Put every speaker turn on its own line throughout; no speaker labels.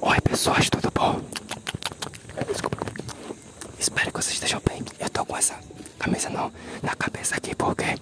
Oi pessoas, tudo bom? Espero que vocês estejam bem. Eu tô com essa camisa não na cabeça aqui porque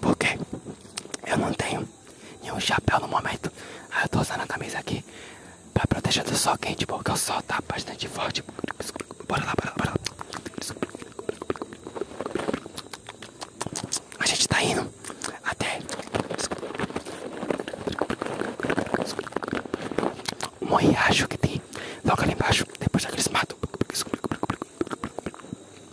porque eu não tenho e um chapéu no momento. Aí eu tô usando a camisa aqui para proteger do sol quente, porque o sol tá bastante forte. Bora lá, bora lá, bora lá. A gente tá indo até um riacho que tem logo ali embaixo, depois daquele matos.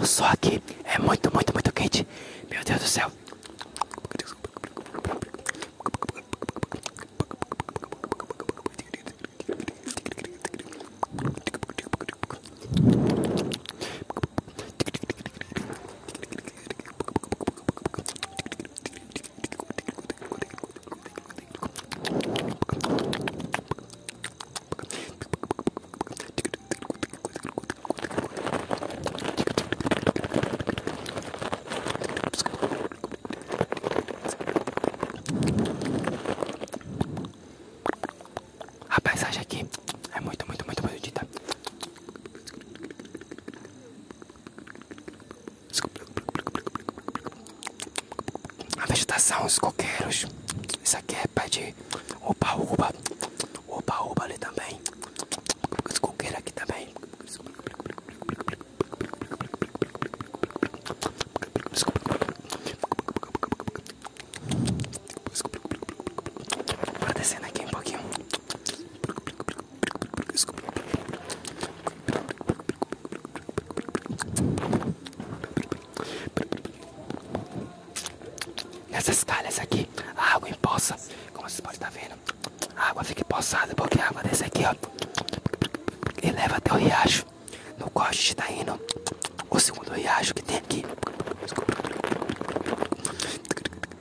O sol aqui é muito, muito, muito quente. Meu Deus do céu. Rapaz, paisagem aqui é muito, muito, muito bonita. A vegetação, os coqueiros. Isso aqui é pé de oba-oba. Oba-oba ali também. Os coqueiros aqui também. Vou descendo aqui um pouquinho. Essas calhas aqui, a água empoça, como vocês podem estar tá vendo, a água fica empoçada porque a água desse aqui, ó, e até o riacho. No qual a tá indo, o segundo riacho que tem aqui.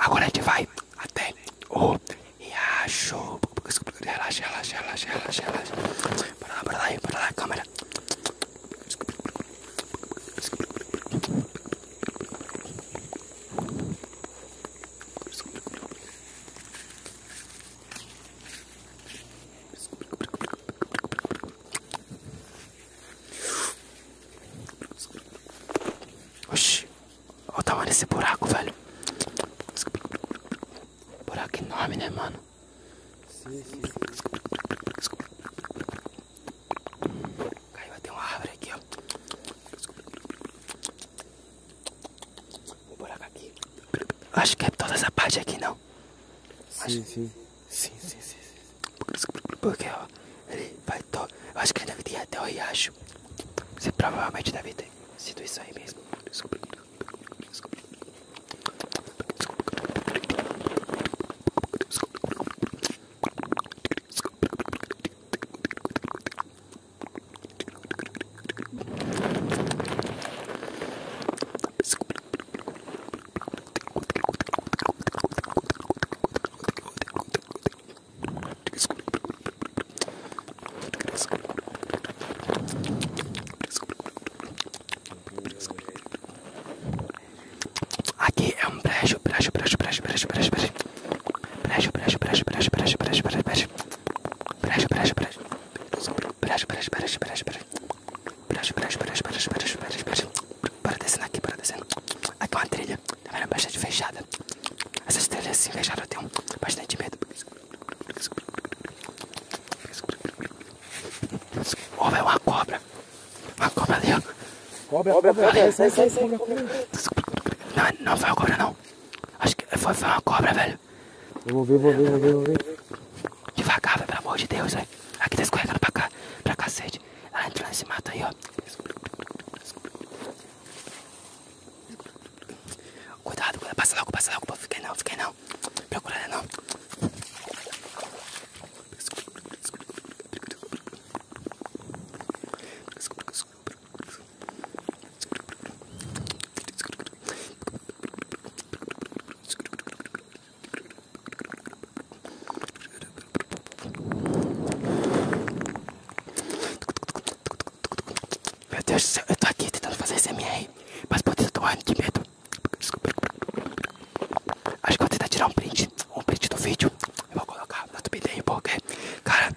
Agora a gente vai até o e riacho. Relaxa, relaxa, relaxa, relaxa, relaxa. Para lá, para lá, para lá, câmera. Agora Oxi, olha o tamanho tá desse buraco, velho. Buraco enorme, né, mano? Sim, sim, sim. Caiu até uma árvore aqui, ó. Um buraco aqui. Acho que é toda essa parte aqui, não. Sim, sim. Sim, sim, sim, Porque, ó, ele vai todo. acho que ele deve ter até o riacho. Você provavelmente deve ter sido isso aí mesmo. Aqui é um brejo, brejo, brejo, brejo, brejo, brejo, brejo. Brejo, brejo, brejo, brejo, brejo, brejo, brejo, brejo. Brejo, brejo, brejo. Brejo, brejo, brejo, brejo, brejo. Brejo, brejo, brejo, brejo, brejo, brejo, brejo. Bora descendo aqui, bora descendo. Aqui é uma trilha, tá vendo? Bastante fechada. Essas trilhas assim fechadas eu tenho bastante medo. Ó, oh, é uma cobra. Uma cobra ali, ó. Cobra, cobra, cobra. Sai, sai, sai. Não, não foi a cobra, não. Acho que foi, uma cobra, velho. vou ver, vou ver, vou ver, Devagar, pelo amor de Deus, velho. Aqui tá escorregando pra cá, pra cacete. Ela entrou nesse mato aí, ó. Cuidado, cuidado. Passa logo, passa logo. Pô. Fiquei não, fiquei não. Procura ela não. Meu Deus do céu, eu tô aqui tentando fazer SMR, mas poder do ano de medo. Acho que eu vou tentar tirar um print, um print do vídeo. Eu vou colocar na thumbnail porque, cara,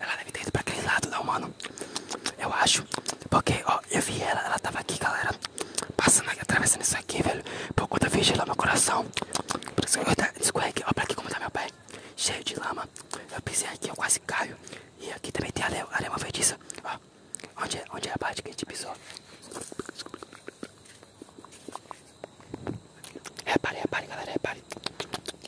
Ela deve ter ido pra aquele lado, não, mano. Eu acho. Porque, ó, eu vi ela, ela tava aqui, galera. Passando atravessando isso aqui, velho. Por conta vejo ela meu coração. Por isso aqui, ó, pra aqui como está meu pai? Cheio de lama. Eu pisei aqui, eu quase caio. E aqui também tem a arema feitiça. Ó, onde é, onde é a parte que a gente pisou? Repare, repare, galera, repare.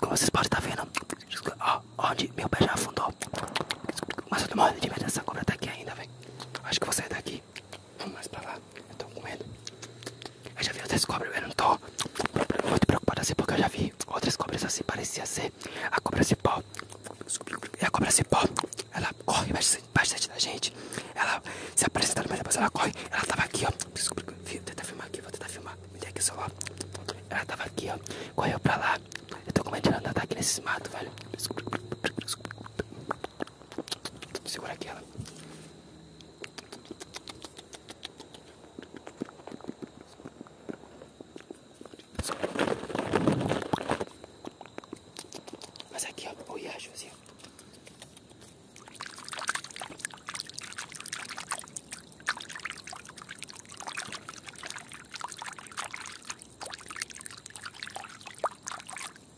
Como vocês podem estar tá vendo, onde meu pé já afundou. Mas eu tô morrendo de medo essa cobra tá aqui ainda, velho. Acho que vou sair daqui aqui. Vamos mais pra lá. Eu tô com medo. Eu já vi outras cobras, eu não tô muito preocupado assim, porque eu já vi outras cobras assim. Parecia ser a cobra cipó. E é a cobra cipó, ela corre bastante, bastante da gente. Ela se apresenta, mas depois ela corre. Ela tava aqui, ó. Vou tentar filmar aqui, vou tentar filmar. Me dei aqui só ó Ela tava aqui, ó. Correu pra lá. Eu tô com medo de andar aqui nesses matos, velho. Segura aquela. Mas aqui, ó, o riacho assim,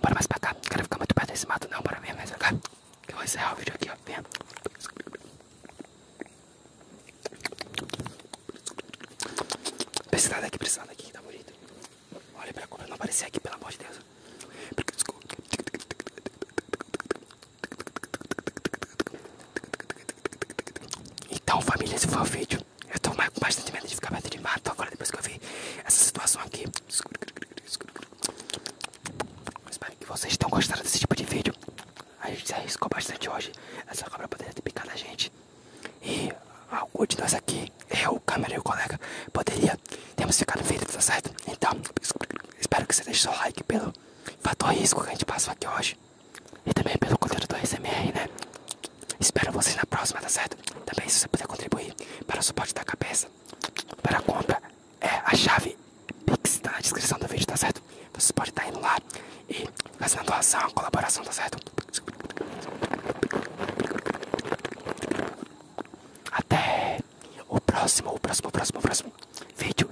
Bora mais pra cá, não quero ficar muito perto desse mato não, bora vir mais pra cá eu vou encerrar o vídeo aqui, ó, venha Precisar daqui, precisar daqui, tá bonito Olha pra cobra não aparecer aqui, pelo amor de Deus então, família, esse foi o vídeo. Eu tô com bastante medo de ficar perto de mato agora depois que eu vi essa situação aqui. Espero que vocês tenham gostado desse tipo de vídeo. A gente se arriscou bastante hoje. Essa é câmera poderia ter picado a gente. E algum de nós aqui, eu, o câmera e o colega, poderia termos ficado feridos, tá certo? Então, espero que você deixe seu like pelo fator risco que a gente passou aqui hoje e também pelo conteúdo do ASMR, né? Espero vocês na próxima, tá certo? Também se você puder contribuir para o suporte da cabeça, para a compra, é a chave Pix tá na descrição do vídeo, tá certo? Você pode estar tá indo lá e fazendo a doação, colaboração, tá certo? Até o próximo, o próximo, o próximo, o próximo vídeo.